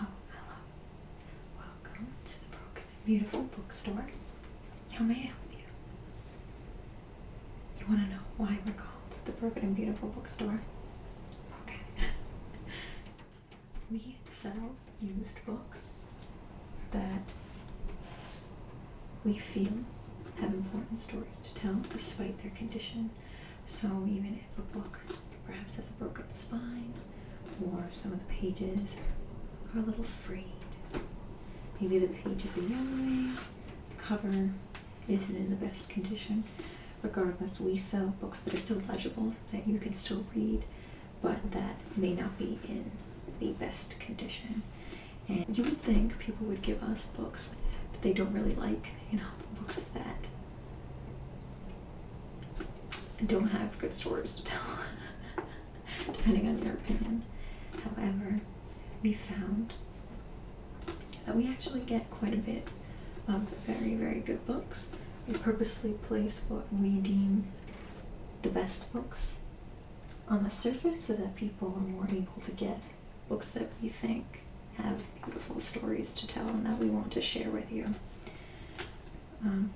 Oh, hello. Welcome to the Broken and Beautiful Bookstore. How may I help you? You want to know why we're called the Broken and Beautiful Bookstore? Okay. we sell used books that we feel have important stories to tell despite their condition. So even if a book perhaps has a broken spine, or some of the pages are a little frayed, maybe the pages are yellowing, the cover isn't in the best condition. Regardless, we sell books that are still legible, that you can still read, but that may not be in the best condition. And you would think people would give us books that they don't really like, you know, books that don't have good stories to tell, depending on your opinion. However, we found that we actually get quite a bit of very, very good books. We purposely place what we deem the best books on the surface so that people are more able to get books that we think have beautiful stories to tell and that we want to share with you. Um,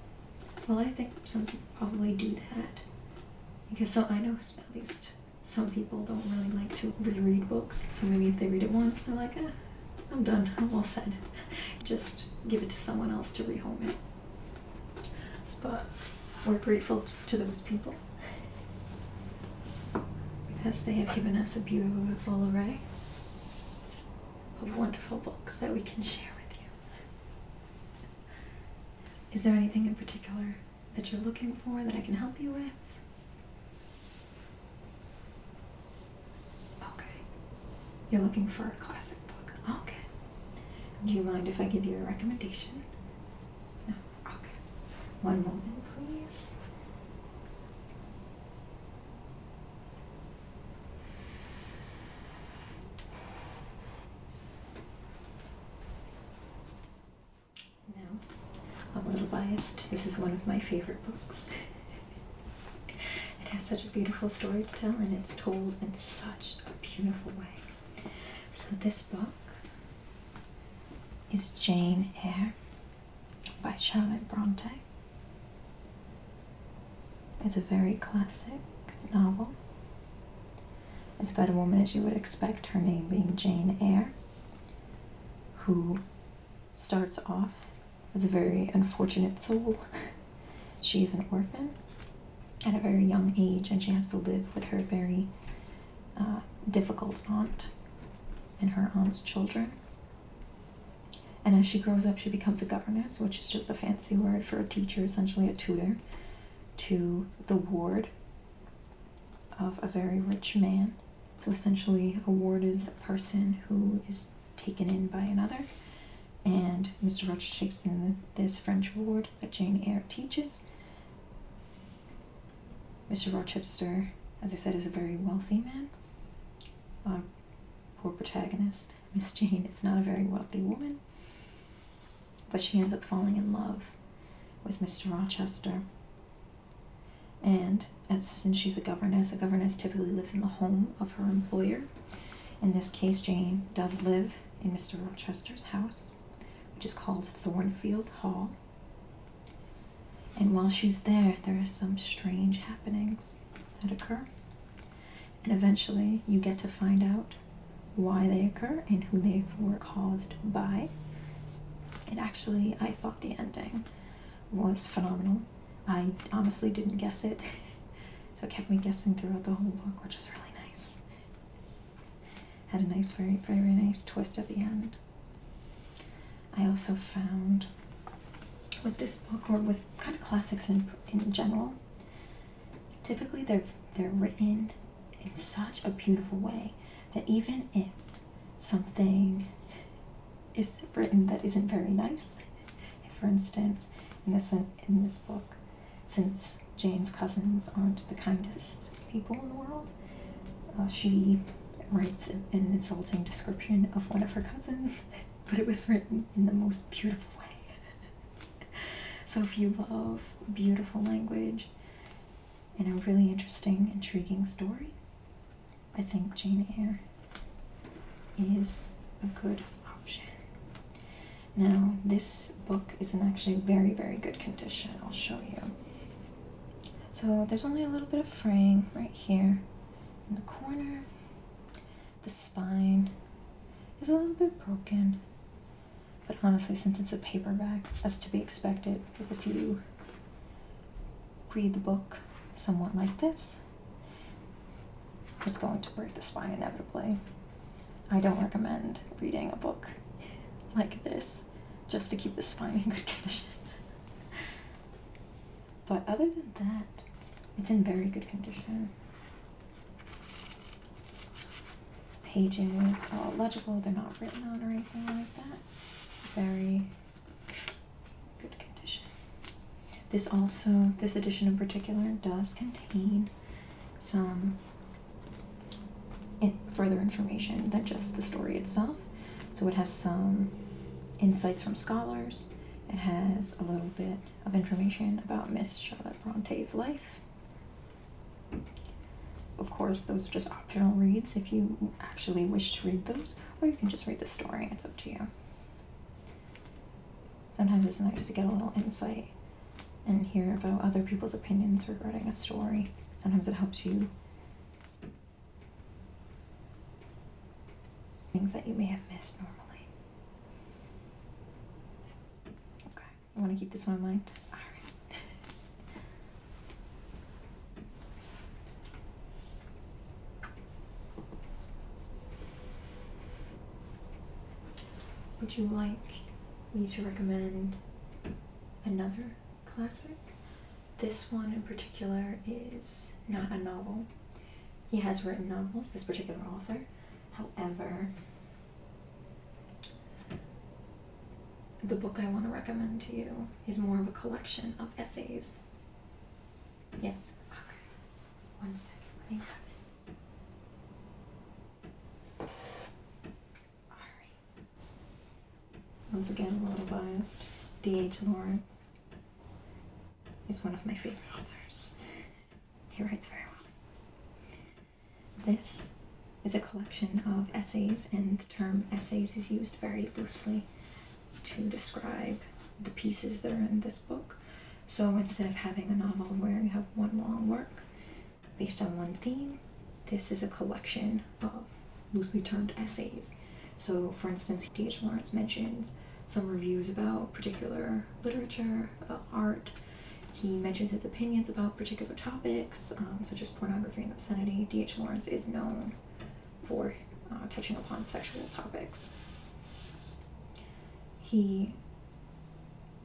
well, I think some people probably do that because so I know at least some people don't really like to reread books, so maybe if they read it once, they're like, eh, I'm done, I'm all said. Just give it to someone else to rehome it. But we're grateful to those people because they have given us a beautiful array of wonderful books that we can share with you. Is there anything in particular that you're looking for that I can help you with? Okay. You're looking for a classic book. Okay. Do you mind if I give you a recommendation? No. Okay. One moment, please. Now, I'm a little biased. This is one of my favorite books. it has such a beautiful story to tell, and it's told in such a beautiful way. So, this book is Jane Eyre by Charlotte Bronte. It's a very classic novel. It's about a woman, as you would expect, her name being Jane Eyre who starts off as a very unfortunate soul. she is an orphan at a very young age, and she has to live with her very uh, difficult aunt and her aunt's children. And as she grows up, she becomes a governess, which is just a fancy word for a teacher, essentially a tutor, to the ward of a very rich man. So essentially, a ward is a person who is taken in by another, and Mr. Rochester, takes this French ward that Jane Eyre teaches. Mr. Rochester, as I said, is a very wealthy man. Our uh, poor protagonist, Miss Jane, is not a very wealthy woman, but she ends up falling in love with Mr. Rochester and since she's a governess, a governess typically lives in the home of her employer. In this case, Jane does live in Mr. Rochester's house, which is called Thornfield Hall. And while she's there, there are some strange happenings that occur. And eventually, you get to find out why they occur and who they were caused by. And actually, I thought the ending was phenomenal. I honestly didn't guess it, so it kept me guessing throughout the whole book, which is really nice. Had a nice, very, very, very nice twist at the end. I also found with this book, or with kind of classics in, in general, typically they're, they're written in such a beautiful way that even if something is written that isn't very nice. For instance, in this, in this book, since Jane's cousins aren't the kindest people in the world, uh, she writes an insulting description of one of her cousins, but it was written in the most beautiful way. so if you love beautiful language, in a really interesting, intriguing story, I think Jane Eyre is a good option. Now, this book is in actually very, very good condition. I'll show you. So there's only a little bit of fraying right here in the corner. The spine is a little bit broken. But honestly, since it's a paperback, that's to be expected with a few read the book somewhat like this. It's going to break the spine inevitably. I don't recommend reading a book like this just to keep the spine in good condition. but other than that, it's in very good condition. Pages are legible, they're not written on or anything like that very good condition. This also, this edition in particular, does contain some further information than just the story itself. So it has some insights from scholars. It has a little bit of information about Miss Charlotte Bronte's life of course, those are just optional reads if you actually wish to read those, or you can just read the story, it's up to you. Sometimes it's nice to get a little insight and hear about other people's opinions regarding a story. Sometimes it helps you. Things that you may have missed normally. Okay, you want to keep this one in mind? Alright. Would you like me to recommend another classic? This one in particular is not a novel. He has written novels, this particular author. However, the book I want to recommend to you is more of a collection of essays. Yes. Once again, a little biased. D.H. Lawrence is one of my favorite authors. He writes very well. This is a collection of essays, and the term essays is used very loosely to describe the pieces that are in this book. So instead of having a novel where you have one long work based on one theme, this is a collection of loosely termed essays. So, for instance, D.H. Lawrence mentions some reviews about particular literature, uh, art. He mentions his opinions about particular topics, um, such as pornography and obscenity. D.H. Lawrence is known for uh, touching upon sexual topics. He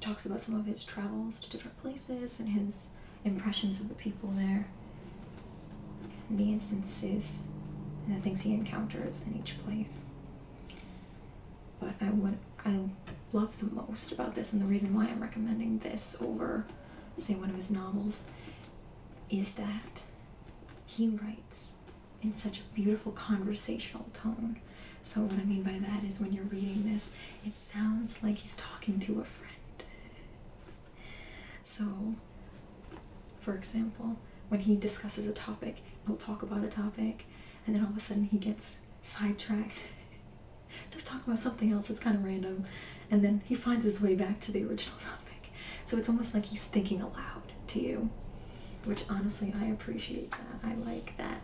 talks about some of his travels to different places and his impressions of the people there, and the instances and the things he encounters in each place. But I would I love the most about this, and the reason why I'm recommending this over, say, one of his novels, is that he writes in such a beautiful conversational tone. So, what I mean by that is when you're reading this, it sounds like he's talking to a friend. So, for example, when he discusses a topic, he'll talk about a topic, and then all of a sudden he gets sidetracked. so, talking about something else that's kind of random, and then he finds his way back to the original topic. So it's almost like he's thinking aloud to you, which honestly, I appreciate that. I like that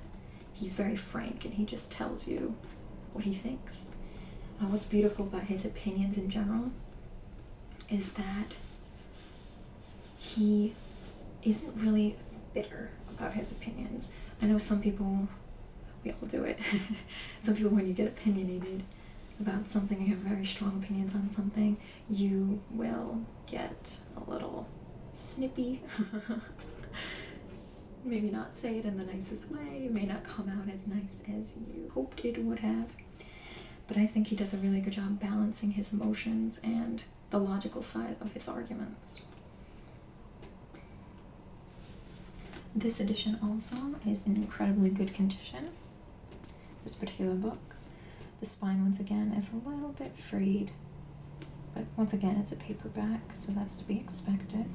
he's very frank and he just tells you what he thinks. Uh, what's beautiful about his opinions in general is that he isn't really bitter about his opinions. I know some people, we all do it. some people, when you get opinionated, about something, you have very strong opinions on something, you will get a little snippy. Maybe not say it in the nicest way, may not come out as nice as you hoped it would have. But I think he does a really good job balancing his emotions and the logical side of his arguments. This edition also is in incredibly good condition. This particular book. The spine, once again, is a little bit frayed, but once again, it's a paperback, so that's to be expected.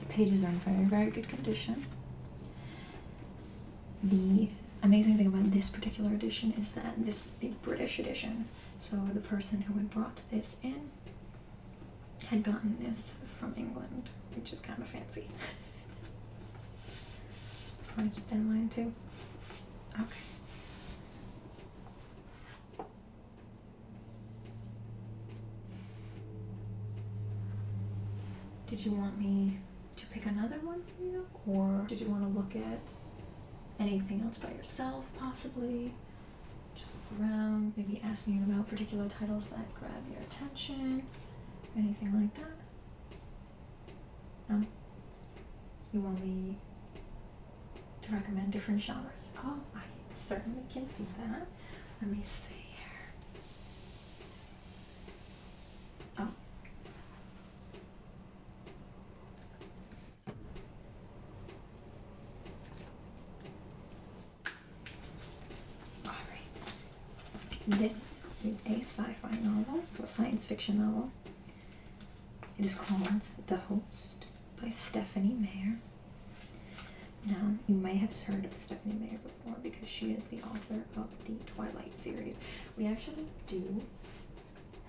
The pages are in very, very good condition. The amazing thing about this particular edition is that this is the British edition, so the person who had brought this in had gotten this from England, which is kind of fancy. want to keep that in too. Okay. Did you want me to pick another one for you? Or did you want to look at anything else by yourself, possibly? Just look around, maybe ask me about particular titles that grab you attention, anything like that? No? You want me to recommend different genres? Oh, I certainly can do that. Let me see here. Oh. Alright. This is a sci fi novel, so a science fiction novel. It is called The Host by Stephanie Meyer. Now, you may have heard of Stephanie Meyer before because she is the author of the Twilight series. We actually do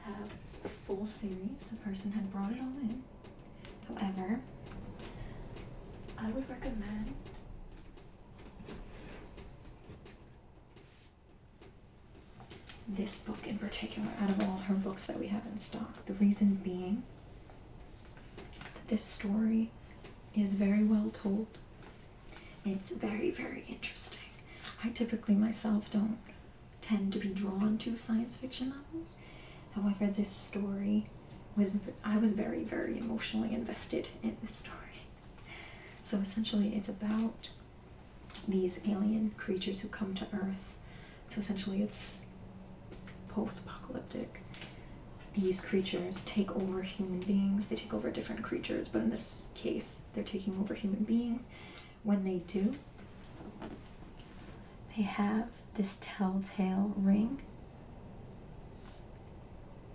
have the full series, the person had brought it all in. However, I would recommend this book in particular, out of all her books that we have in stock. The reason being that this story is very well told. It's very, very interesting. I typically myself don't tend to be drawn to science fiction novels. However, this story was I was very, very emotionally invested in this story. So essentially, it's about these alien creatures who come to Earth. So essentially, it's post-apocalyptic. These creatures take over human beings. They take over different creatures, but in this case, they're taking over human beings. When they do, they have this telltale ring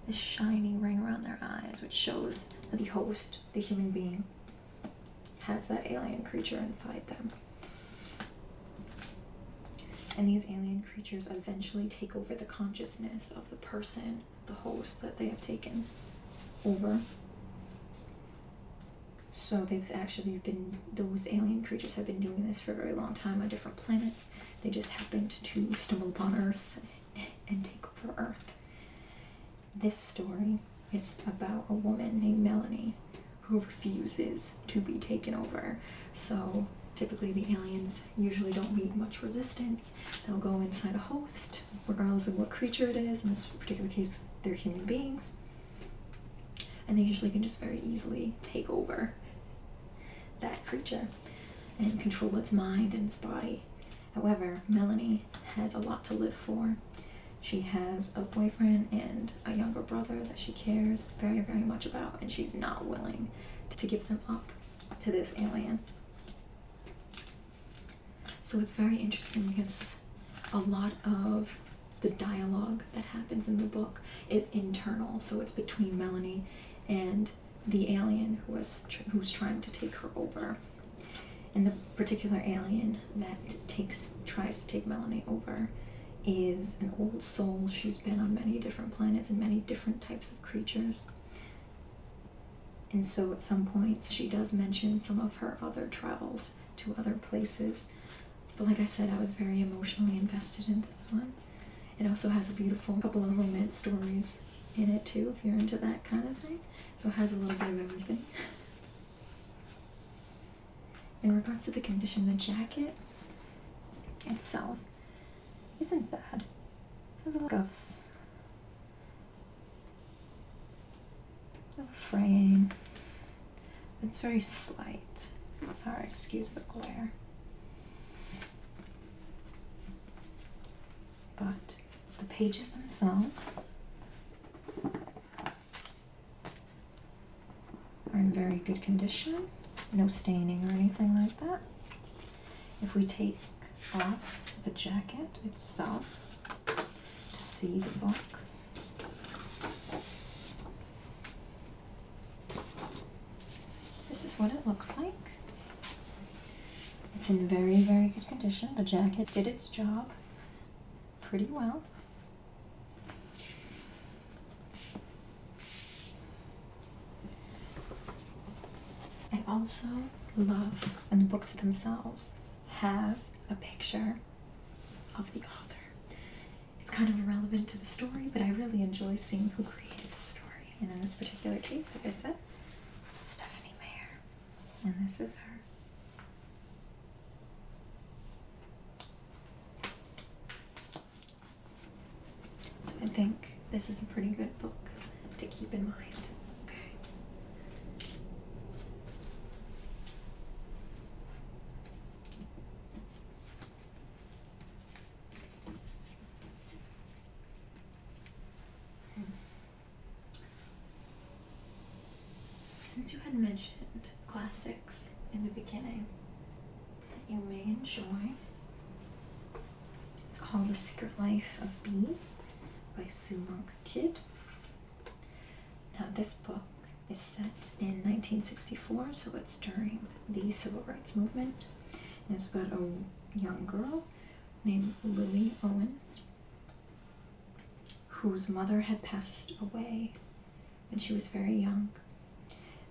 this shiny ring around their eyes, which shows that the host, the human being, has that alien creature inside them. And these alien creatures eventually take over the consciousness of the person, the host that they have taken over. So they've actually been, those alien creatures have been doing this for a very long time on different planets. They just happened to stumble upon Earth and take over Earth. This story is about a woman named Melanie who refuses to be taken over. So typically the aliens usually don't meet much resistance. They'll go inside a host, regardless of what creature it is. In this particular case, they're human beings. And they usually can just very easily take over that creature and control its mind and its body. However, Melanie has a lot to live for. She has a boyfriend and a younger brother that she cares very, very much about, and she's not willing to give them up to this alien. So it's very interesting because a lot of the dialogue that happens in the book is internal. So it's between Melanie and the alien who was tr who's trying to take her over. And the particular alien that takes tries to take Melanie over is an old soul. She's been on many different planets and many different types of creatures. And so at some points she does mention some of her other travels to other places. But like I said, I was very emotionally invested in this one. It also has a beautiful couple of romance stories in it too, if you're into that kind of thing. So it has a little bit of everything. In regards to the condition, the jacket itself isn't bad. It has a little of cuffs. No fraying. It's very slight. Sorry, excuse the glare. But the pages themselves are in very good condition, no staining or anything like that. If we take off the jacket itself to see the book, this is what it looks like. It's in very, very good condition. The jacket did its job pretty well. I also love when the books themselves have a picture of the author. It's kind of irrelevant to the story, but I really enjoy seeing who created the story. And in this particular case, like I said, it's Stephanie Mayer. And this is her. I think this is a pretty good book to keep in mind. Okay. Since you had mentioned class six in the beginning that you may enjoy, it's called The Secret Life of Bees by Sue Monk Kidd. Now, this book is set in 1964, so it's during the Civil Rights Movement. And it's about a young girl named Lily Owens whose mother had passed away when she was very young.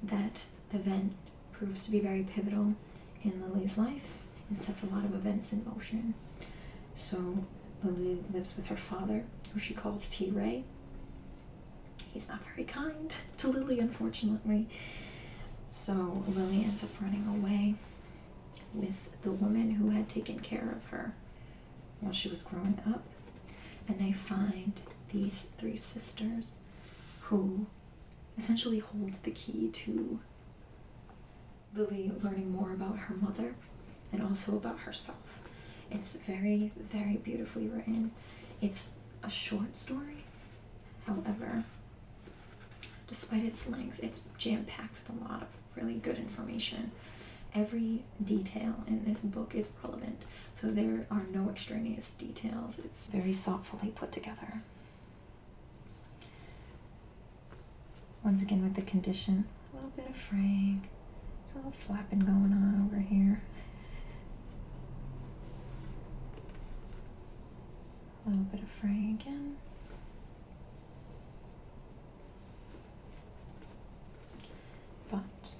That event proves to be very pivotal in Lily's life and sets a lot of events in motion. So Lily lives with her father, who she calls T Ray, he's not very kind to Lily, unfortunately. So Lily ends up running away with the woman who had taken care of her while she was growing up. And they find these three sisters who essentially hold the key to Lily learning more about her mother and also about herself. It's very, very beautifully written. It's a short story, However, despite its length, it's jam packed with a lot of really good information. Every detail in this book is relevant, so there are no extraneous details. It's very thoughtfully put together. Once again, with the condition, a little bit of fraying, there's a little flapping going on over here. A little bit of fraying again. But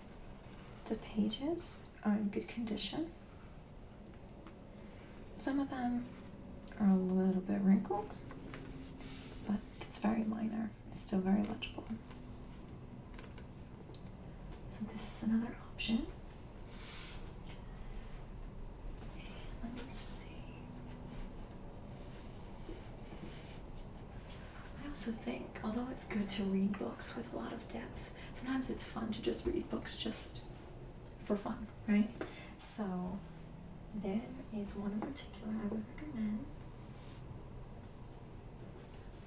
the pages are in good condition. Some of them are a little bit wrinkled, but it's very minor. It's still very legible. So this is another option. Let me see. I also think, although it's good to read books with a lot of depth, sometimes it's fun to just read books just for fun, right? So, there is one in particular I would recommend.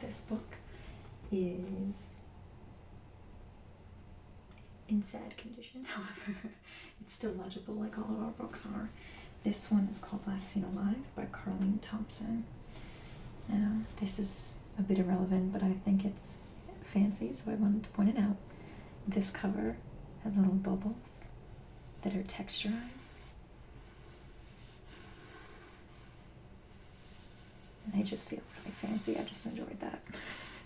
This book is in sad condition. However, it's still legible like all of our books are. This one is called Last Seen Alive by Carleen Thompson. Uh, this is a bit irrelevant, but I think it's fancy, so I wanted to point it out. This cover has little bubbles that are texturized. And they just feel really fancy. I just enjoyed that.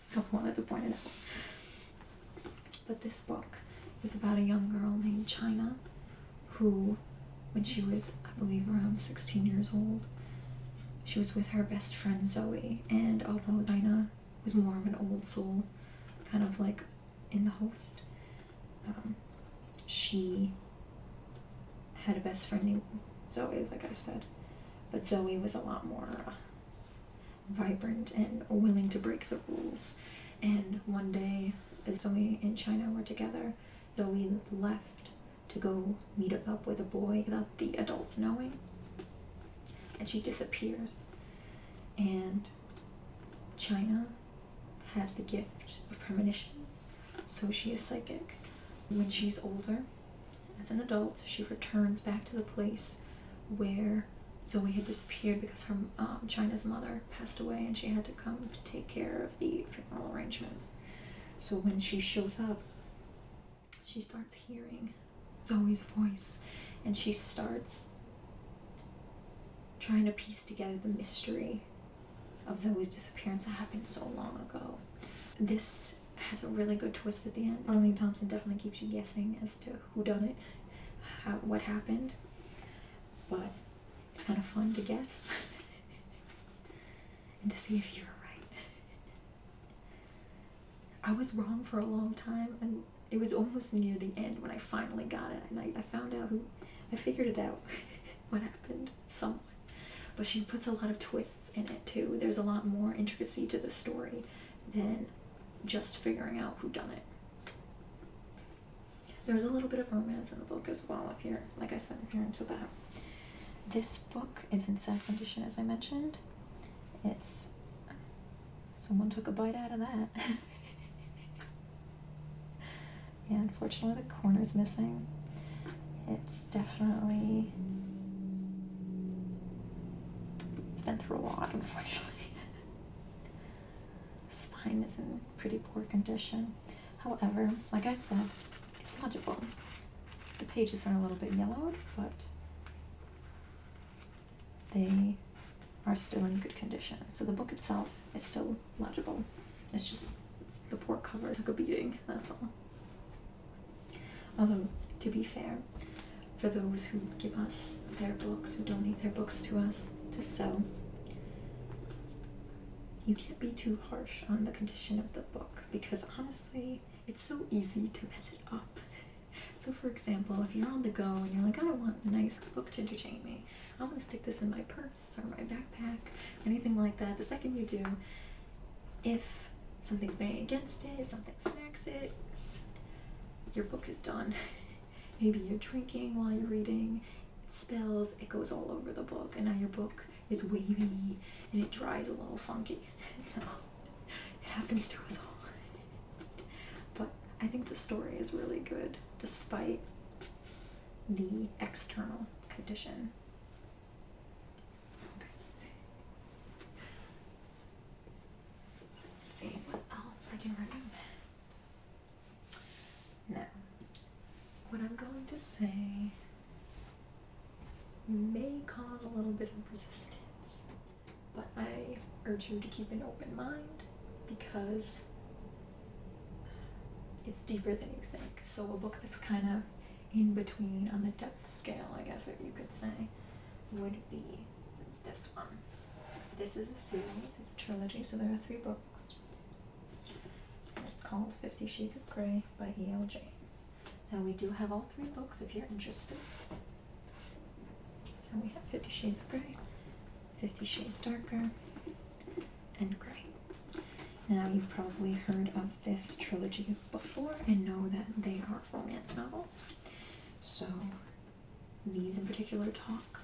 So I wanted to point it out. But this book is about a young girl named China who, when she was, I believe, around 16 years old, she was with her best friend Zoe. And although China was more of an old soul, kind of like in the host, um, she had a best friend named Zoe, like I said. But Zoe was a lot more uh, vibrant and willing to break the rules. And one day, Zoe and China were together. Zoe left to go meet up with a boy without the adults knowing. And she disappears. And China has the gift of premonitions, so she is psychic. When she's older, as an adult, she returns back to the place where Zoe had disappeared because her um, China's mother passed away and she had to come to take care of the funeral arrangements. So when she shows up, she starts hearing Zoe's voice and she starts trying to piece together the mystery of Zoe's disappearance that happened so long ago. This has a really good twist at the end. Marlene Thompson definitely keeps you guessing as to who done it, what happened, but it's kind of fun to guess and to see if you're right. I was wrong for a long time, and it was almost near the end when I finally got it, and I, I found out who I figured it out what happened someone. But she puts a lot of twists in it too. There's a lot more intricacy to the story than just figuring out who done it. There's a little bit of romance in the book as well if you're like I said, if you're into that. This book is in sad condition as I mentioned. It's someone took a bite out of that. and unfortunately the corner's missing. It's definitely it's been through a lot, unfortunately. spine is in pretty poor condition. However, like I said, it's legible. The pages are a little bit yellowed, but they are still in good condition. So the book itself is still legible. It's just the poor cover took a beating, that's all. Although, to be fair, for those who give us their books, who donate their books to us to sell, you can't be too harsh on the condition of the book because honestly, it's so easy to mess it up. So, for example, if you're on the go and you're like, I want a nice book to entertain me, I'm gonna stick this in my purse or my backpack, anything like that. The second you do, if something's banging against it, something smacks it, your book is done. Maybe you're drinking while you're reading, it spills, it goes all over the book, and now your book is wavy and it dries a little funky. So it happens to us all. But I think the story is really good despite the external condition. Let's see what else I can recommend. Now, what I'm going to say may cause a little bit of resistance, but I urge you to keep an open mind because it's deeper than you think. So, a book that's kind of in between on the depth scale, I guess what you could say, would be this one. This is a series a trilogy, so there are three books. it's called Fifty Shades of Grey by E.L. James. Now we do have all three books if you're interested. So we have Fifty Shades of Grey, Fifty Shades Darker, and Grey. Now you've probably heard of this trilogy before and know that they are romance novels. So these in particular talk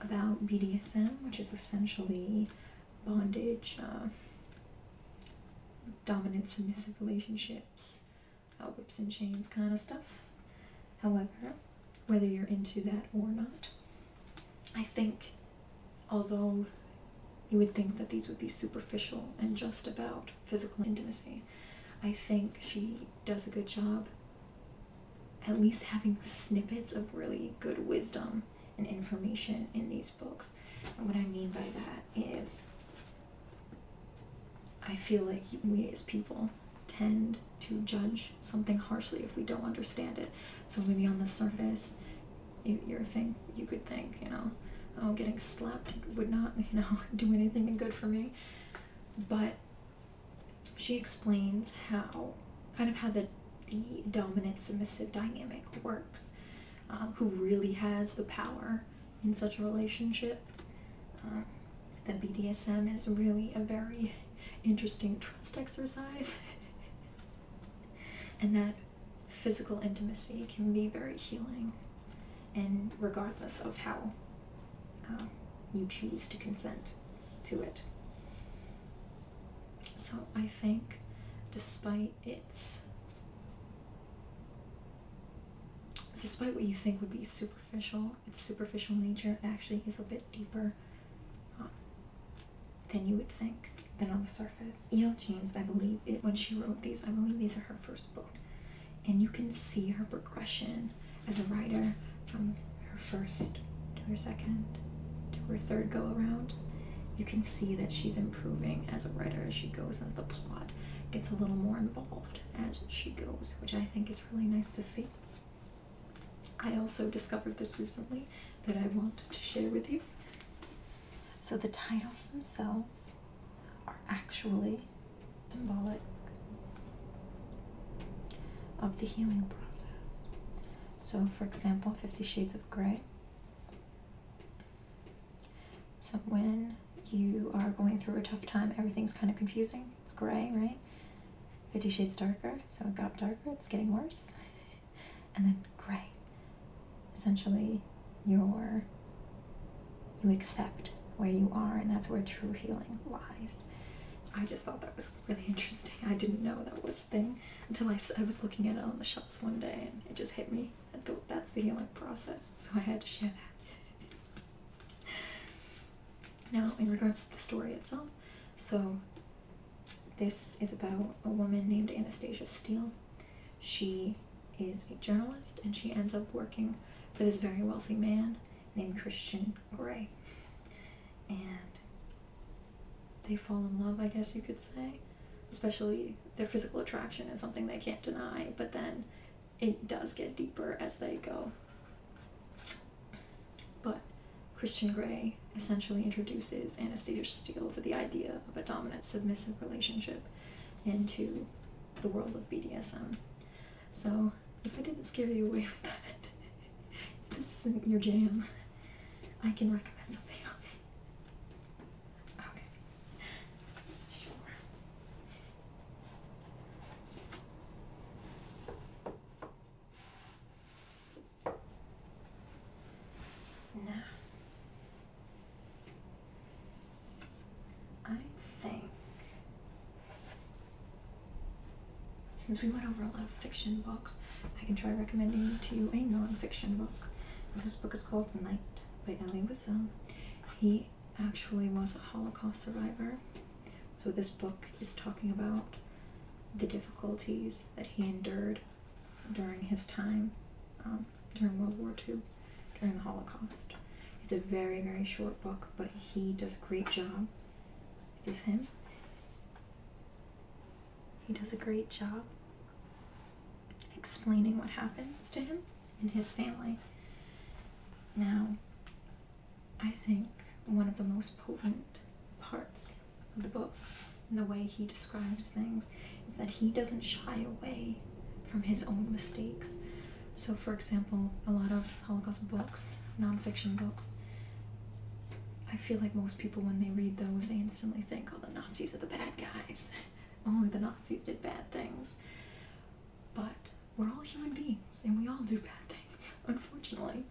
about BDSM, which is essentially bondage, uh, dominant submissive relationships, uh, whips and chains kind of stuff. However, whether you're into that or not, I think although you would think that these would be superficial and just about physical intimacy. I think she does a good job at least having snippets of really good wisdom and information in these books. And what I mean by that is, I feel like we as people tend to judge something harshly if we don't understand it. So maybe on the surface, your thing you could think you know oh getting slapped would not you know do anything good for me but she explains how kind of how the the dominant submissive dynamic works um, who really has the power in such a relationship um, that bdsm is really a very interesting trust exercise and that physical intimacy can be very healing, and regardless of how um, you choose to consent to it. So I think, despite its despite what you think would be superficial, its superficial nature actually is a bit deeper um, than you would think than on the surface. James. James, I believe, it, when she wrote these, I believe these are her first book. And you can see her progression as a writer from her first to her second to her third go around. You can see that she's improving as a writer as she goes, and the plot gets a little more involved as she goes, which I think is really nice to see. I also discovered this recently that I wanted to share with you. So the titles themselves are actually symbolic of the healing process. So, for example, Fifty Shades of Grey. So, when you are going through a tough time, everything's kind of confusing. It's gray, right? Fifty Shades Darker. So, it got darker, it's getting worse. And then gray essentially your you accept where you are and that's where true healing lies i just thought that was really interesting i didn't know that was a thing until I, I was looking at it on the shelves one day and it just hit me i thought that's the healing process so i had to share that now in regards to the story itself so this is about a woman named anastasia steele she is a journalist, and she ends up working for this very wealthy man named Christian Grey. And they fall in love, I guess you could say. Especially their physical attraction is something they can't deny, but then it does get deeper as they go. But Christian Grey essentially introduces Anastasia Steele to the idea of a dominant submissive relationship into the world of BDSM. So if I didn't scare you away with that, if this isn't your jam, I can recommend something else. Okay. Sure. Now, I think since we went over a lot of fiction books, I can try recommending to you a nonfiction book. this book is called Night by Elie Wiesel. He actually was a Holocaust survivor, so this book is talking about the difficulties that he endured during his time um, during World War II, during the Holocaust. It's a very, very short book, but he does a great job. Is this him? He does a great job explaining what happens to him and his family. Now, I think one of the most potent parts of the book and the way he describes things is that he doesn't shy away from his own mistakes. So, for example, a lot of Holocaust books, non-fiction books, I feel like most people, when they read those, they instantly think, all oh, the Nazis are the bad guys. Only the Nazis did bad things. But we're all human beings and we all do bad things, unfortunately.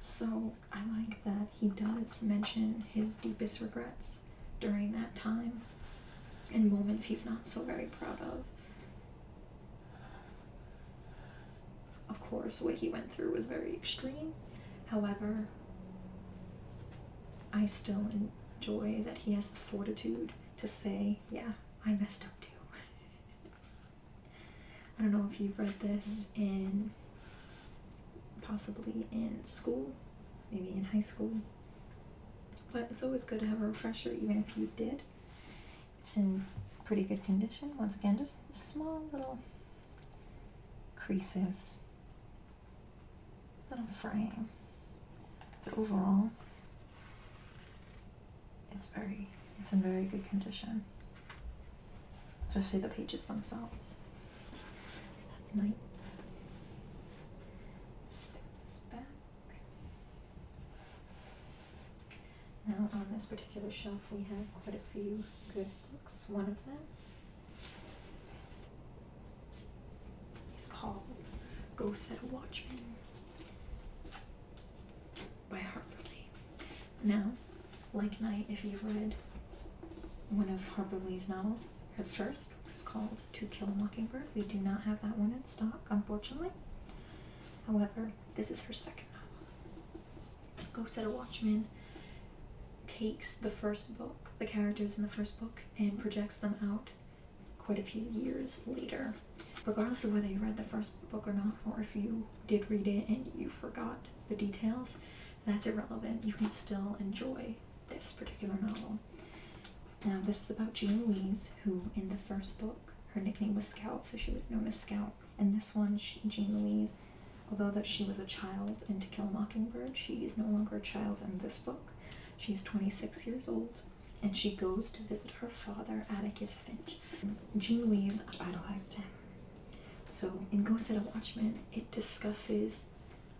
So I like that he does mention his deepest regrets during that time and moments he's not so very proud of. Of course, what he went through was very extreme. However, I still enjoy that he has the fortitude to say, Yeah, I messed up too. I don't know if you've read this mm. in possibly in school, maybe in high school, but it's always good to have a refresher, even if you did. It's in pretty good condition. Once again, just small little creases, little fraying. But overall, it's very, it's in very good condition. Especially the pages themselves. So now on this particular shelf we have quite a few good books. One of them is called Ghosts at a Watchman by Harper Lee. Now, like night, if you've read one of Harper Lee's novels, it's first, It's called to Kill a Mockingbird. We do not have that one in stock, unfortunately. However, this is her second novel. Go of a Watchman takes the first book, the characters in the first book, and projects them out quite a few years later. Regardless of whether you read the first book or not, or if you did read it and you forgot the details, that's irrelevant. You can still enjoy this particular novel. Now, this is about Jean Louise, who in the first book, her nickname was Scout, so she was known as Scout. And this one, Jean Louise, although that she was a child in To Kill a Mockingbird, she is no longer a child in this book. She is 26 years old, and she goes to visit her father, Atticus Finch. Jean Louise idolized him. So in Go Set a Watchman, it discusses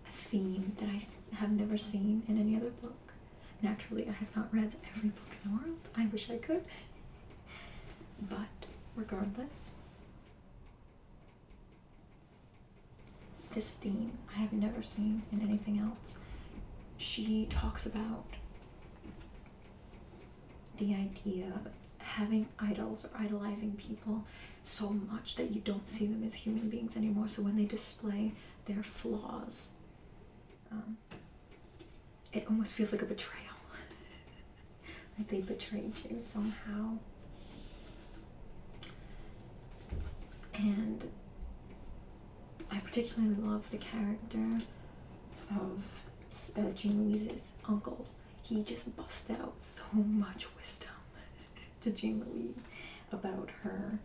a theme that I have never seen in any other book. Naturally, I have not read every book in the world. I wish I could. But regardless, this theme I have never seen in anything else. She talks about the idea of having idols or idolizing people so much that you don't see them as human beings anymore. So when they display their flaws, um, it almost feels like a betrayal. like they betrayed you somehow. And I particularly love the character of uh, Jean Louise's uncle. He just busts out so much wisdom to Jean Louise about her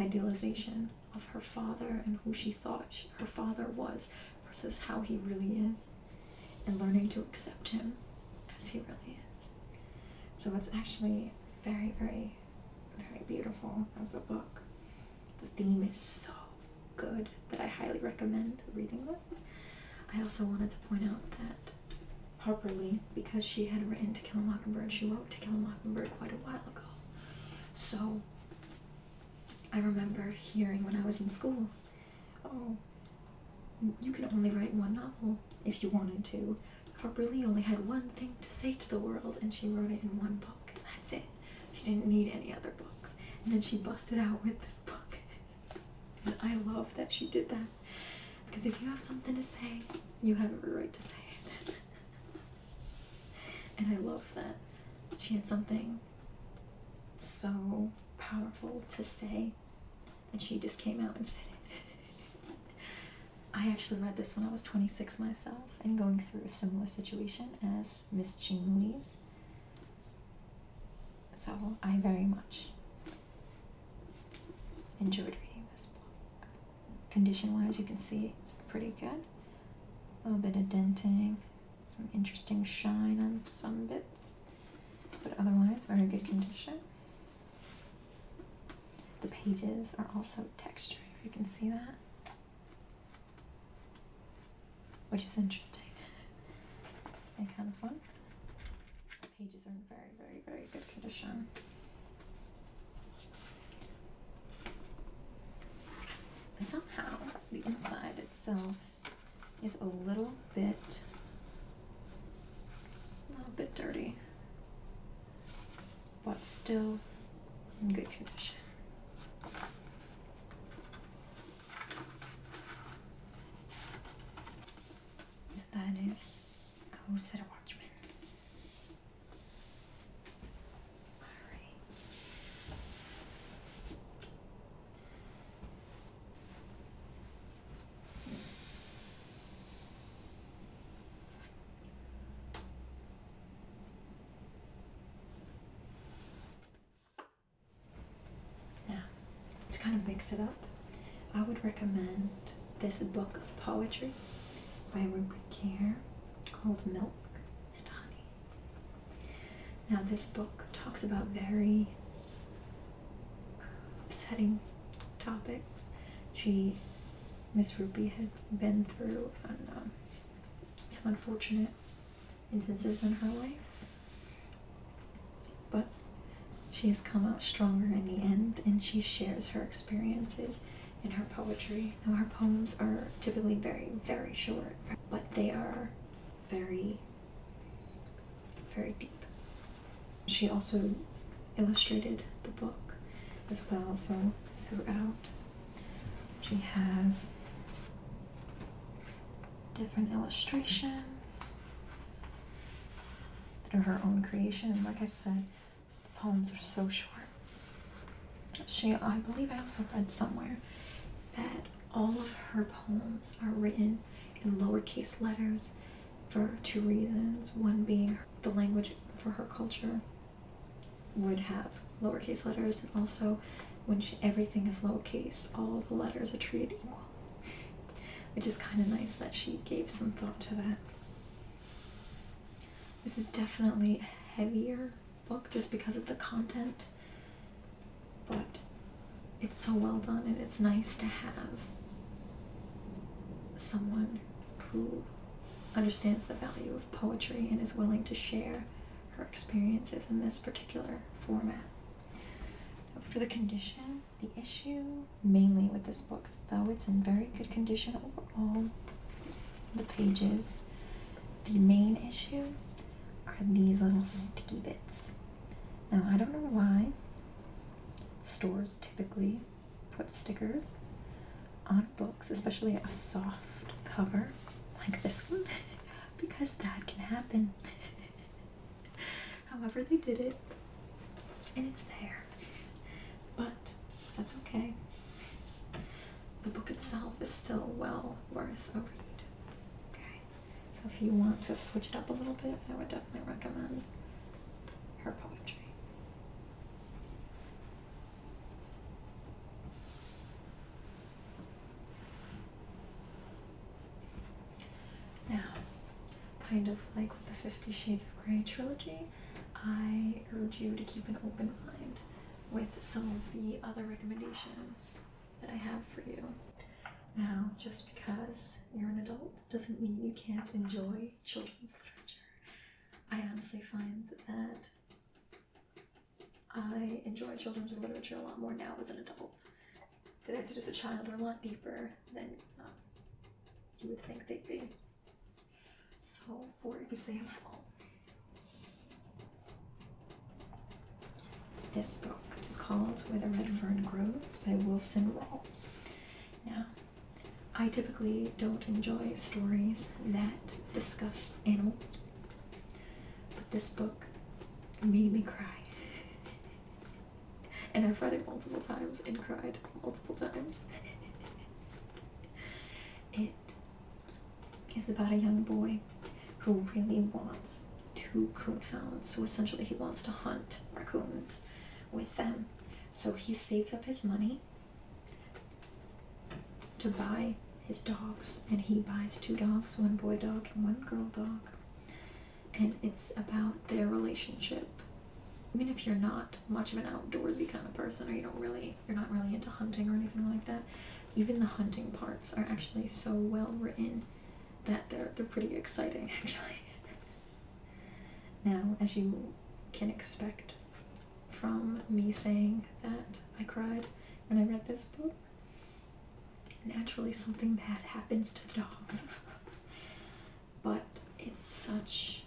idealization of her father and who she thought her father was versus how he really is, and learning to accept him as he really is. So it's actually very, very, very beautiful as a book. The theme is so good that I highly recommend reading it. I also wanted to point out that Harper Lee because she had written To Kill a Mockingbird. She wrote To Kill a Mockingbird quite a while ago. So I remember hearing when I was in school, oh, you could only write one novel if you wanted to. Harper Lee only had one thing to say to the world and she wrote it in one book and that's it. She didn't need any other books. And then she busted out with this book. and I love that she did that because if you have something to say, you have every right to say it. and I love that she had something so powerful to say, and she just came out and said it. I actually read this when I was 26 myself and going through a similar situation as Miss Jean Louise. So I very much enjoyed reading this book. Condition wise, you can see it's pretty good. A little bit of denting, some interesting shine on some bits, but otherwise, very good condition. The pages are also textured, you can see that, which is interesting and kind of fun. The pages are in very, very, very good condition. Somehow, the inside itself is a little bit, a little bit dirty, but still in good condition. So that is Code Set a Watchman. Alright. to kind of mix it up, I would recommend this book of poetry by Ruby Care called Milk and Honey. Now, this book talks about very upsetting topics. She, Miss Ruby, had been through um, some unfortunate instances in her life, but she has come out stronger in the end, and she shares her experiences in her poetry. Now, her poems are typically very, very short, but they are very, very deep. She also illustrated the book as well, so throughout, she has different illustrations that are her own creation. like I said, poems are so short. She, I believe, I also read somewhere that all of her poems are written in lowercase letters for two reasons. One being the language for her culture would have lowercase letters, and also when everything is lowercase, all the letters are treated equal. Which is kind of nice that she gave some thought to that. This is definitely a heavier book just because of the content, but it's so well done and it's nice to have someone who understands the value of poetry and is willing to share her experiences in this particular format. For the condition, the issue, mainly with this book, though it's in very good condition overall. The pages. The main issue are these little sticky bits. Now, I don't know why stores typically put stickers on books, especially a soft cover like this one, because that can happen. However, they did it and it's there. But that's okay. The book itself is still well worth a read. Okay, so if you want to switch it up a little bit, I would definitely recommend her poetry. Now, kind of like with the Fifty Shades of Grey trilogy, I urge you to keep an open mind with some of the other recommendations that I have for you. Now, just because you're an adult doesn't mean you can't enjoy children's literature. I honestly find that I enjoy children's literature a lot more now as an adult than I did as a child. They're a lot deeper than uh, you would think they'd be. So, for example, this book is called Where the Red Fern Grows by Wilson Rawls. Now, I typically don't enjoy stories that discuss animals, but this book made me cry. and I've read it multiple times and cried multiple times. it is about a young boy who really wants two coonhounds. So essentially, he wants to hunt raccoons with them. So he saves up his money to buy his dogs, and he buys two dogs one boy dog and one girl dog. And it's about their relationship even if you're not much of an outdoorsy kind of person or you don't really you're not really into hunting or anything like that even the hunting parts are actually so well written that they're they're pretty exciting actually now as you can expect from me saying that I cried when I read this book naturally something bad happens to the dogs but it's such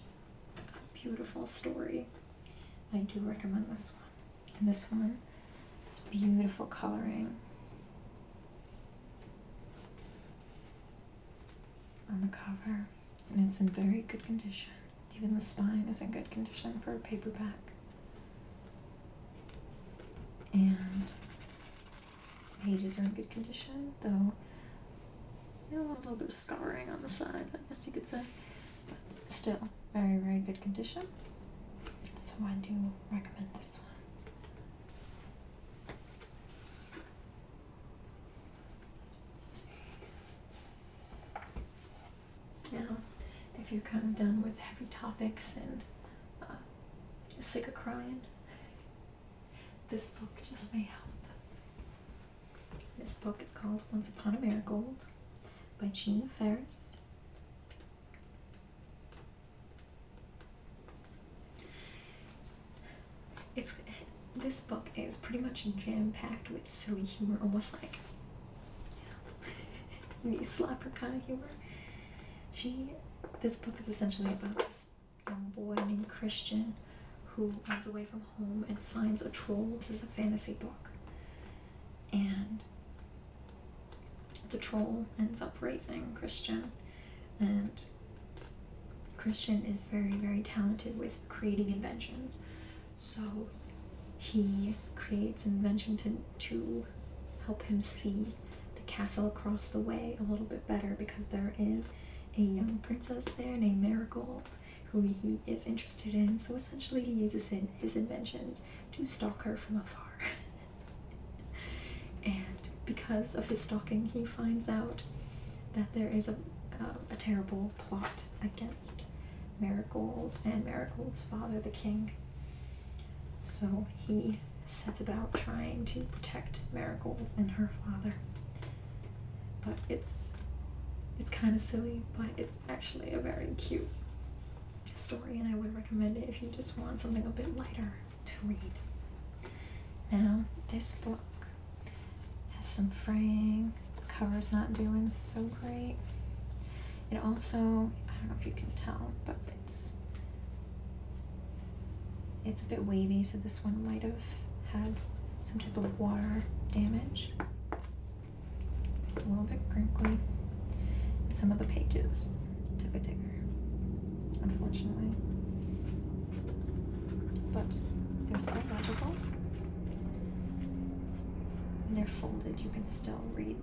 a beautiful story. I do recommend this one. And this one has beautiful coloring. On the cover, and it's in very good condition. Even the spine is in good condition for a paperback. And pages are in good condition, though a little bit of scarring on the sides, I guess you could say. But still, very, very good condition. So I do recommend this one. Now, if you're kind of done with heavy topics and uh, sick of crying, this book just may help. This book is called Once Upon a Marigold by Gina Ferris. It's this book is pretty much jam-packed with silly humor, almost like you know, knee kind of humor. She this book is essentially about this young boy named Christian who runs away from home and finds a troll. This is a fantasy book. And the troll ends up raising Christian. And Christian is very, very talented with creating inventions. So he creates an invention to, to help him see the castle across the way a little bit better because there is a young princess there named Marigold who he is interested in, so essentially he uses his inventions to stalk her from afar. and because of his stalking, he finds out that there is a, uh, a terrible plot against Marigold and Marigold's father, the king. So he sets about trying to protect Marigold and her father. But it's it's kind of silly, but it's actually a very cute story, and I would recommend it if you just want something a bit lighter to read. Now, this book has some fraying, the cover's not doing so great. It also, I don't know if you can tell, but it's it's a bit wavy, so this one might have had some type of water damage. It's a little bit crinkly. And some of the pages took a digger, unfortunately. But they're still legible. And they're folded, you can still read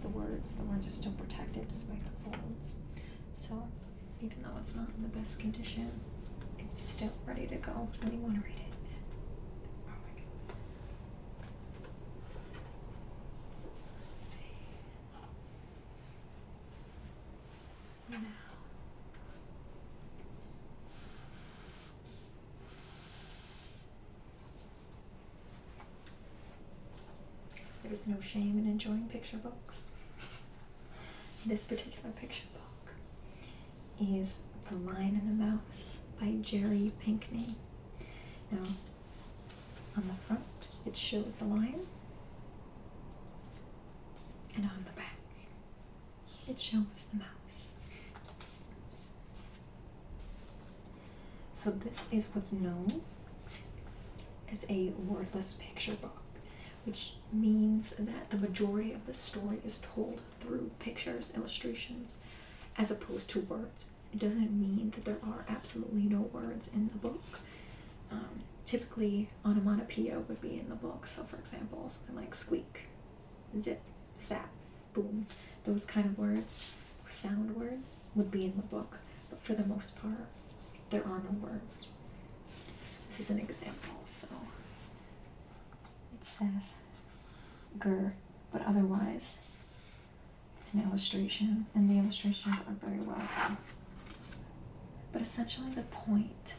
the words. The words are still protected despite the folds. So even though it's not in the best condition, it's still ready to go when you want to read it. Let's see. Now. There's no shame in enjoying picture books. This particular picture Book is The Lion and the Mouse by Jerry Pinkney. Now, on the front, it shows the lion, and on the back, it shows the mouse. So, this is what's known as a wordless picture book which means that the majority of the story is told through pictures, illustrations, as opposed to words. It doesn't mean that there are absolutely no words in the book. Um, typically, onomatopoeia would be in the book. So, for example, something like squeak, zip, zap, boom, those kind of words, sound words, would be in the book. But for the most part, there are no words. This is an example, so it says "ger," but otherwise it's an illustration, and the illustrations are very well done. But essentially, the point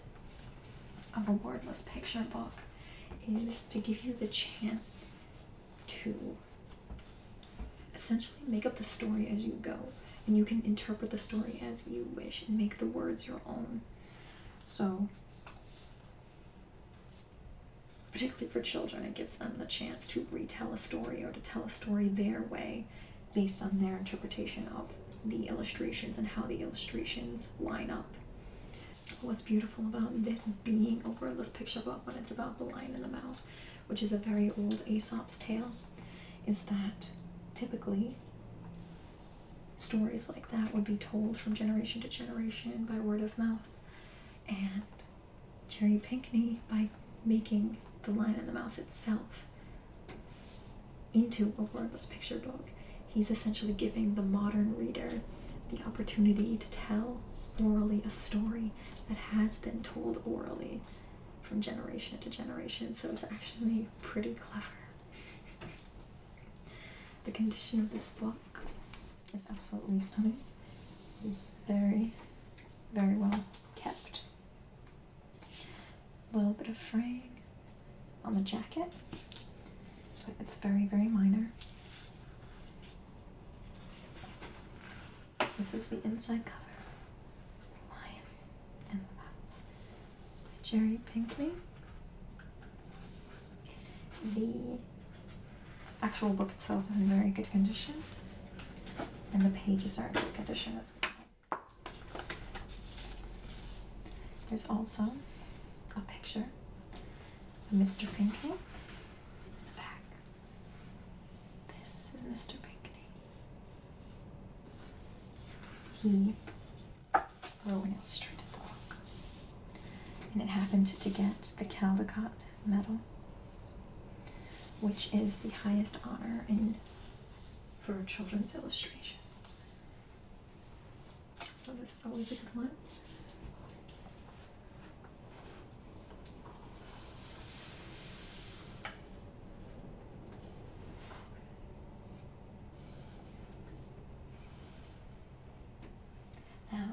of a wordless picture book is to give you the chance to essentially make up the story as you go, and you can interpret the story as you wish and make the words your own. So, particularly for children, it gives them the chance to retell a story or to tell a story their way based on their interpretation of the illustrations and how the illustrations line up. What's beautiful about this being a wordless picture book when it's about the lion and the mouse, which is a very old Aesop's tale, is that typically stories like that would be told from generation to generation by word of mouth. And Jerry Pinkney, by making The Lion and the Mouse itself into a wordless picture book, he's essentially giving the modern reader the opportunity to tell orally a story that has been told orally from generation to generation. So it's actually pretty clever. the condition of this book is absolutely stunning. It is very, very well kept. A little bit of fraying on the jacket, but it's very, very minor. This is the inside cover, lion and the mouse. Jerry Pinkley. The actual book itself is in very good condition, and the pages are in good condition as well. There's also a picture of Mr. Pinkley in the back. This is Mr. Pinkley. He Rowan illustrated book. And it happened to get the Caldecott Medal, which is the highest honor in for children's illustrations. So this is always a good one. Now,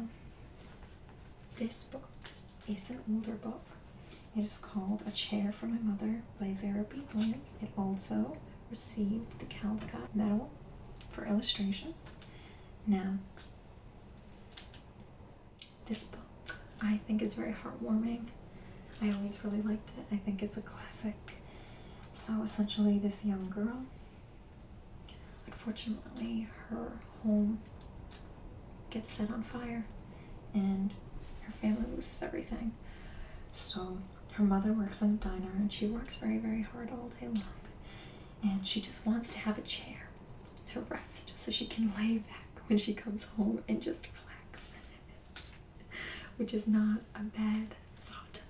this book is an older book. It is called A Chair for My Mother by Vera B. Williams. It also received the Caldecott Medal for illustration. Now, this book I think is very heartwarming. I always really liked it. I think it's a classic. So essentially, this young girl, unfortunately, her home gets set on fire and her family loses everything. So her mother works in a diner and she works very, very hard all day long. And she just wants to have a chair to rest so she can lay back when she comes home and just relax. which is not a bad thought.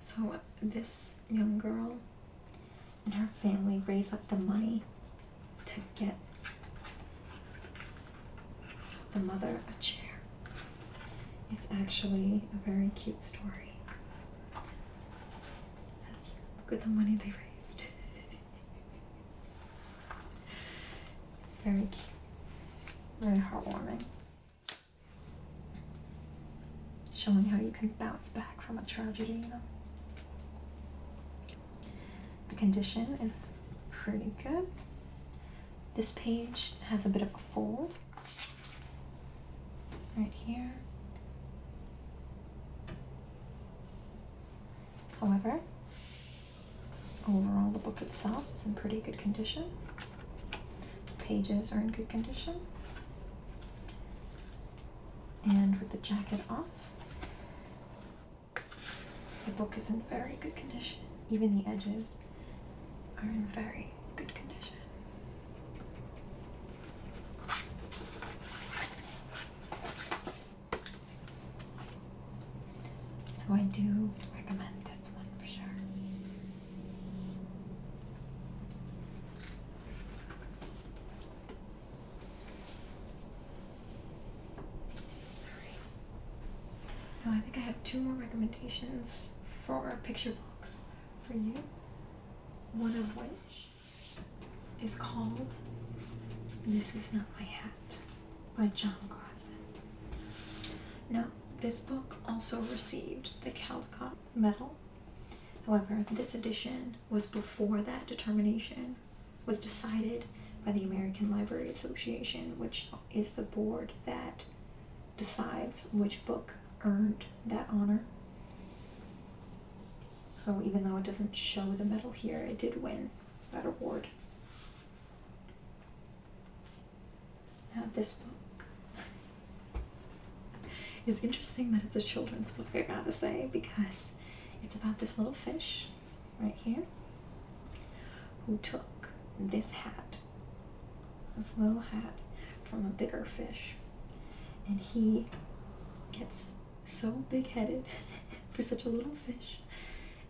So, this young girl and her family raise up the money to get the mother a chair. It's actually a very cute story. That's look at the money they raised. It's very cute, very heartwarming. Showing how you can bounce back from a tragedy, The condition is pretty good. This page has a bit of a fold right here. However, Overall, the book itself is in pretty good condition. Pages are in good condition. And with the jacket off, the book is in very good condition. Even the edges are in very good condition. So I do recommend this one for sure. Alright. I think I have two more recommendations for picture books for you. One of which is called This Is Not My House by John Clausen. Now, this book also received the Caldecott Medal. However, this edition was before that determination was decided by the American Library Association, which is the board that decides which book earned that honor. So even though it doesn't show the medal here, it did win that award. I this book. is interesting that it's a children's book, I gotta say, because it's about this little fish right here who took this hat, this little hat, from a bigger fish. And he gets so big headed for such a little fish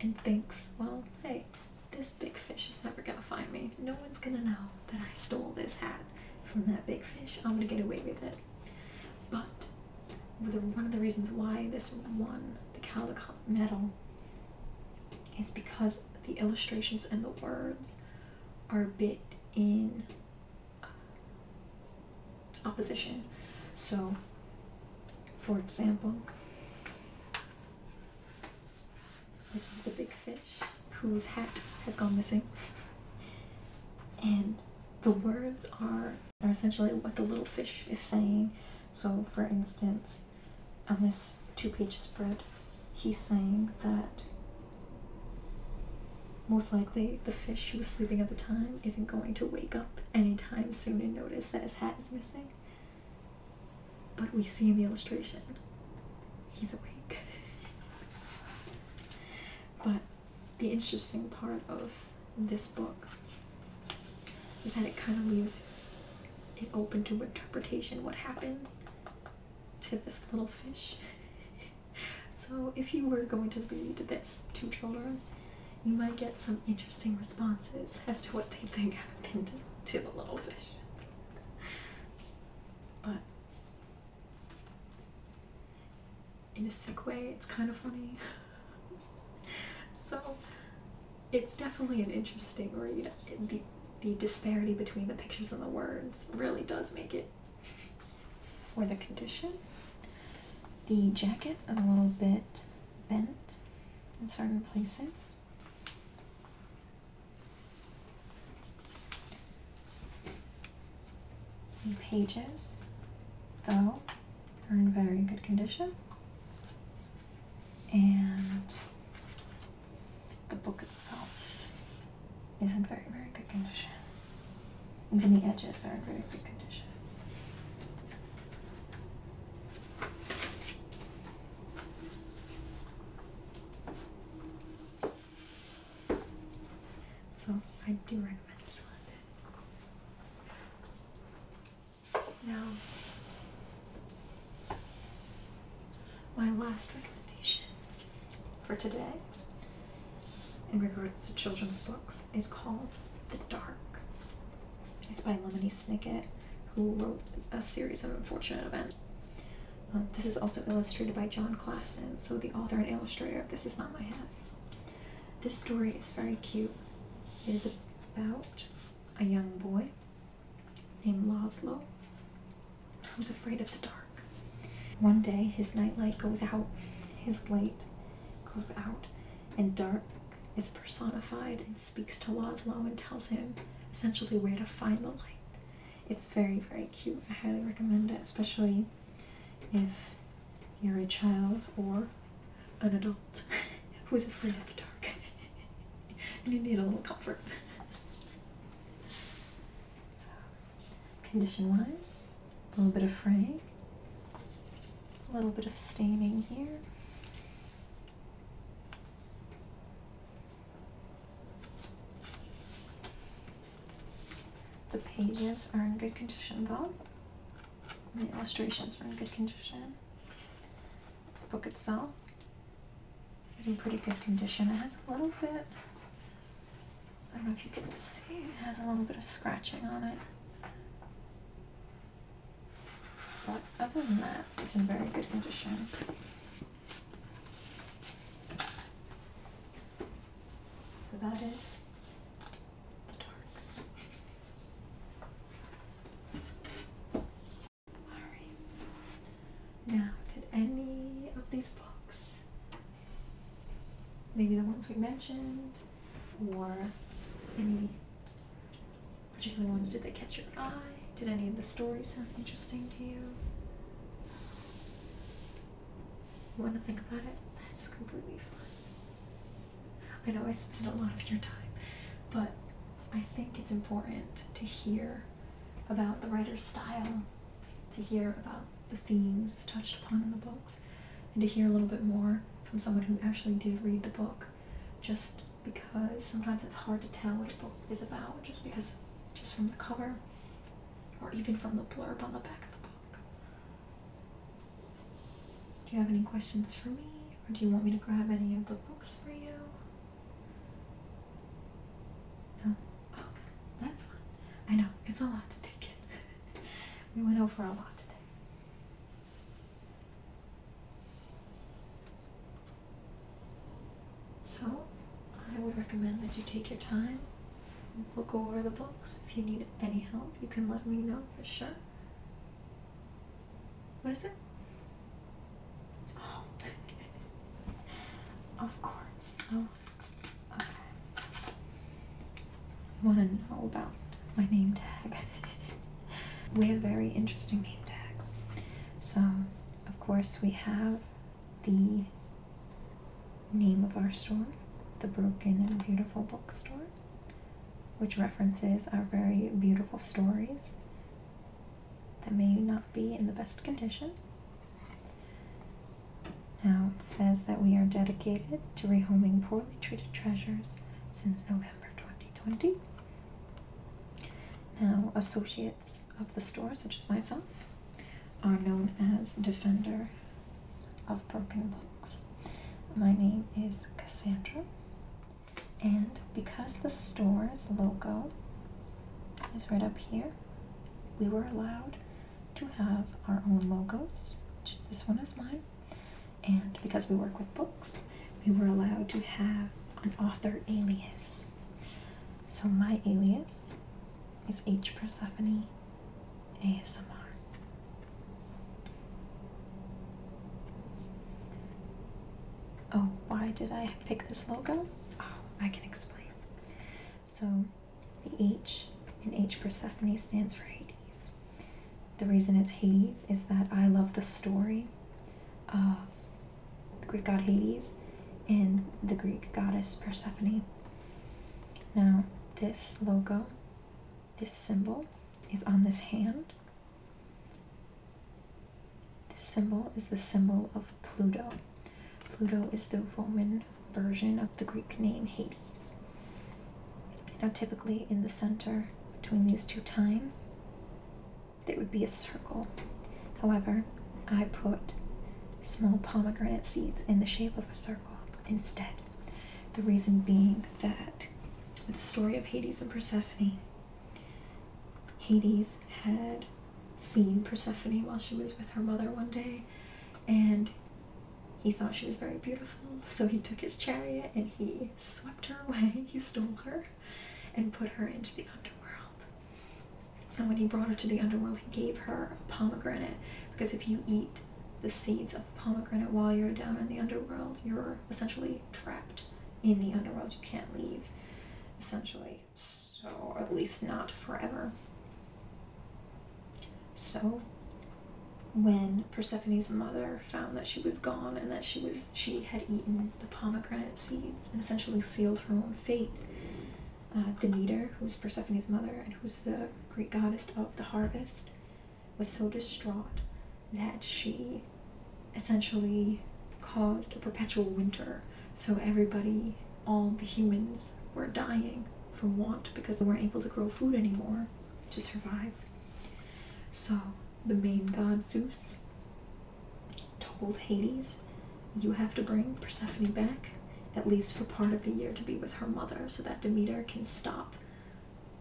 and thinks, well, hey, this big fish is never gonna find me. No one's gonna know that I stole this hat from that big fish. I'm gonna get away with it. But one of the reasons why this won the Caldecott medal is because the illustrations and the words are bit in uh, opposition. So, for example, this is the big fish whose hat has gone missing. And the words are, are essentially what the little fish is saying. So, for instance, on this two page spread, he's saying that most likely the fish who was sleeping at the time isn't going to wake up anytime soon and notice that his hat is missing. But we see in the illustration, he's awake. but the interesting part of this book is that it kind of leaves it open to interpretation what happens to this little fish. so, if you were going to read this to children, you might get some interesting responses as to what they think happened to the little fish. But in a sick way, it's kind of funny. so it's definitely an interesting read. The, the disparity between the pictures and the words really does make it. For the condition, the jacket a little bit bent in certain places. The pages, though, are in very good condition. And the book itself is in very, very good condition. Even the edges are in very good condition. So I do recommend this one. Now, my last recommendation for today in regards to children's books is called The Dark it's by Lemony Snicket, who wrote a series of unfortunate events. Um, this is also illustrated by John Klassen, so the author and illustrator. This is not my hat. This story is very cute. It is about a young boy named Laszlo who's afraid of the dark. One day, his nightlight goes out, his light goes out, and dark is personified and speaks to Laszlo and tells him essentially where to find the light. It's very, very cute. I highly recommend it, especially if you're a child or an adult who's afraid of the dark and you need a little comfort. condition wise, a little bit of fraying, a little bit of staining here. The pages are in good condition though. The illustrations are in good condition. The book itself is in pretty good condition. It has a little bit, I don't know if you can see, it has a little bit of scratching on it. But other than that, it's in very good condition. So that is the dark. Now, did any of these books, maybe the ones we mentioned, or any particularly ones did they catch your eye did any of the stories sound interesting to you want to think about it that's completely fine i know i spend a lot of your time but i think it's important to hear about the writer's style to hear about the themes touched upon in the books and to hear a little bit more from someone who actually did read the book just because sometimes it's hard to tell what a book is about just because just from the cover or even from the blurb on the back of the book. Do you have any questions for me or do you want me to grab any of the books for you? No? Okay, that's fine. I know, it's a lot to take in. we went over a lot today. So, I would recommend that you take your time, look over the books. If you need any help, you can let me know for sure. What is it? Oh, of course. Oh, okay. want to know about my name tag? We have very interesting name tags. So, of course, we have the name of our store, the Broken and Beautiful Bookstore, which references our very beautiful stories that may not be in the best condition. Now, it says that we are dedicated to rehoming poorly treated treasures since November 2020. Now, associates of the store, such as myself, are known as defenders of broken books. My name is Cassandra, and because the store's logo is right up here, we were allowed to have our own logos. this one is mine, and because we work with books, we were allowed to have an author alias. So my alias is H Persephone ASMR. Oh, why did I pick this logo? Oh, I can explain. So the H in H Persephone stands for Hades. The reason it's Hades is that I love the story the Greek god Hades, and the Greek goddess Persephone. Now, this logo, this symbol, is on this hand. This symbol is the symbol of Pluto. Pluto is the Roman version of the Greek name Hades. Now, typically in the center between these two tines. It would be a circle. However, I put small pomegranate seeds in the shape of a circle instead. The reason being that with the story of Hades and Persephone, Hades had seen Persephone while she was with her mother one day, and he thought she was very beautiful, so he took his chariot and he swept her away. He stole her and put her into the underworld. And when he brought her to the underworld, he gave her a pomegranate because if you eat the seeds of the pomegranate while you're down in the underworld, you're essentially trapped in the underworld. You can't leave, essentially. So, at least not forever. So, when Persephone's mother found that she was gone and that she was she had eaten the pomegranate seeds and essentially sealed her own fate. Uh, Demeter, who was Persephone's mother and who's the great goddess of the harvest, was so distraught that she essentially caused a perpetual winter. So everybody, all the humans, were dying from want because they weren't able to grow food anymore to survive. So the main god Zeus told Hades, You have to bring Persephone back, at least for part of the year, to be with her mother, so that Demeter can stop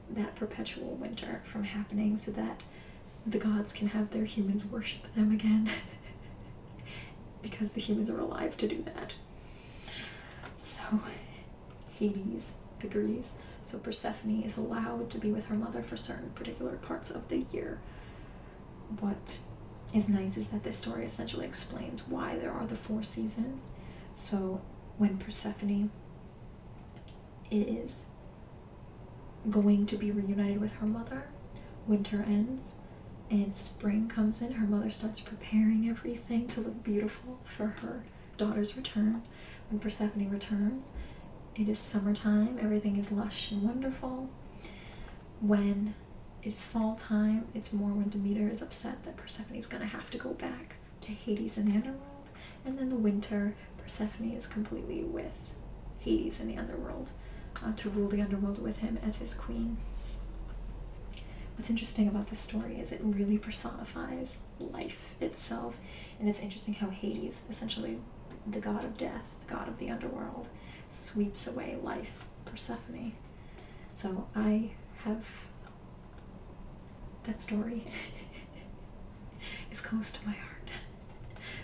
that perpetual winter from happening, so that the gods can have their humans worship them again. because the humans are alive to do that. So Hades agrees. So Persephone is allowed to be with her mother for certain particular parts of the year. What is nice is that this story essentially explains why there are the four seasons. So when Persephone is going to be reunited with her mother, winter ends and spring comes in, her mother starts preparing everything to look beautiful for her daughter's return. When Persephone returns, it is summertime, everything is lush and wonderful. When it's fall time, it's more when Demeter is upset that Persephone is going to have to go back to Hades and the underworld. And then the winter, Persephone is completely with Hades and the underworld uh, to rule the underworld with him as his queen. What's interesting about this story is it really personifies life itself, and it's interesting how Hades, essentially the god of death, the god of the underworld, sweeps away life, Persephone. So I have that story is close to my heart.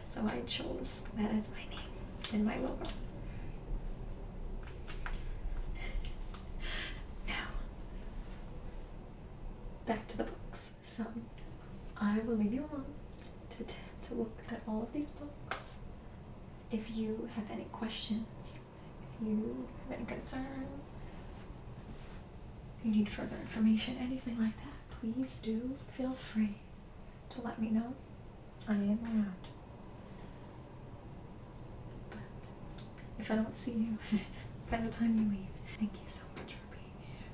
So I chose that as my name and my logo. Now, back to the books. So I will leave you alone to, to look at all of these books. If you have any questions, if you have any concerns, you need further information, anything like that, please do feel free to let me know. I am around. But if I don't see you by the time you leave, thank you so much for being here.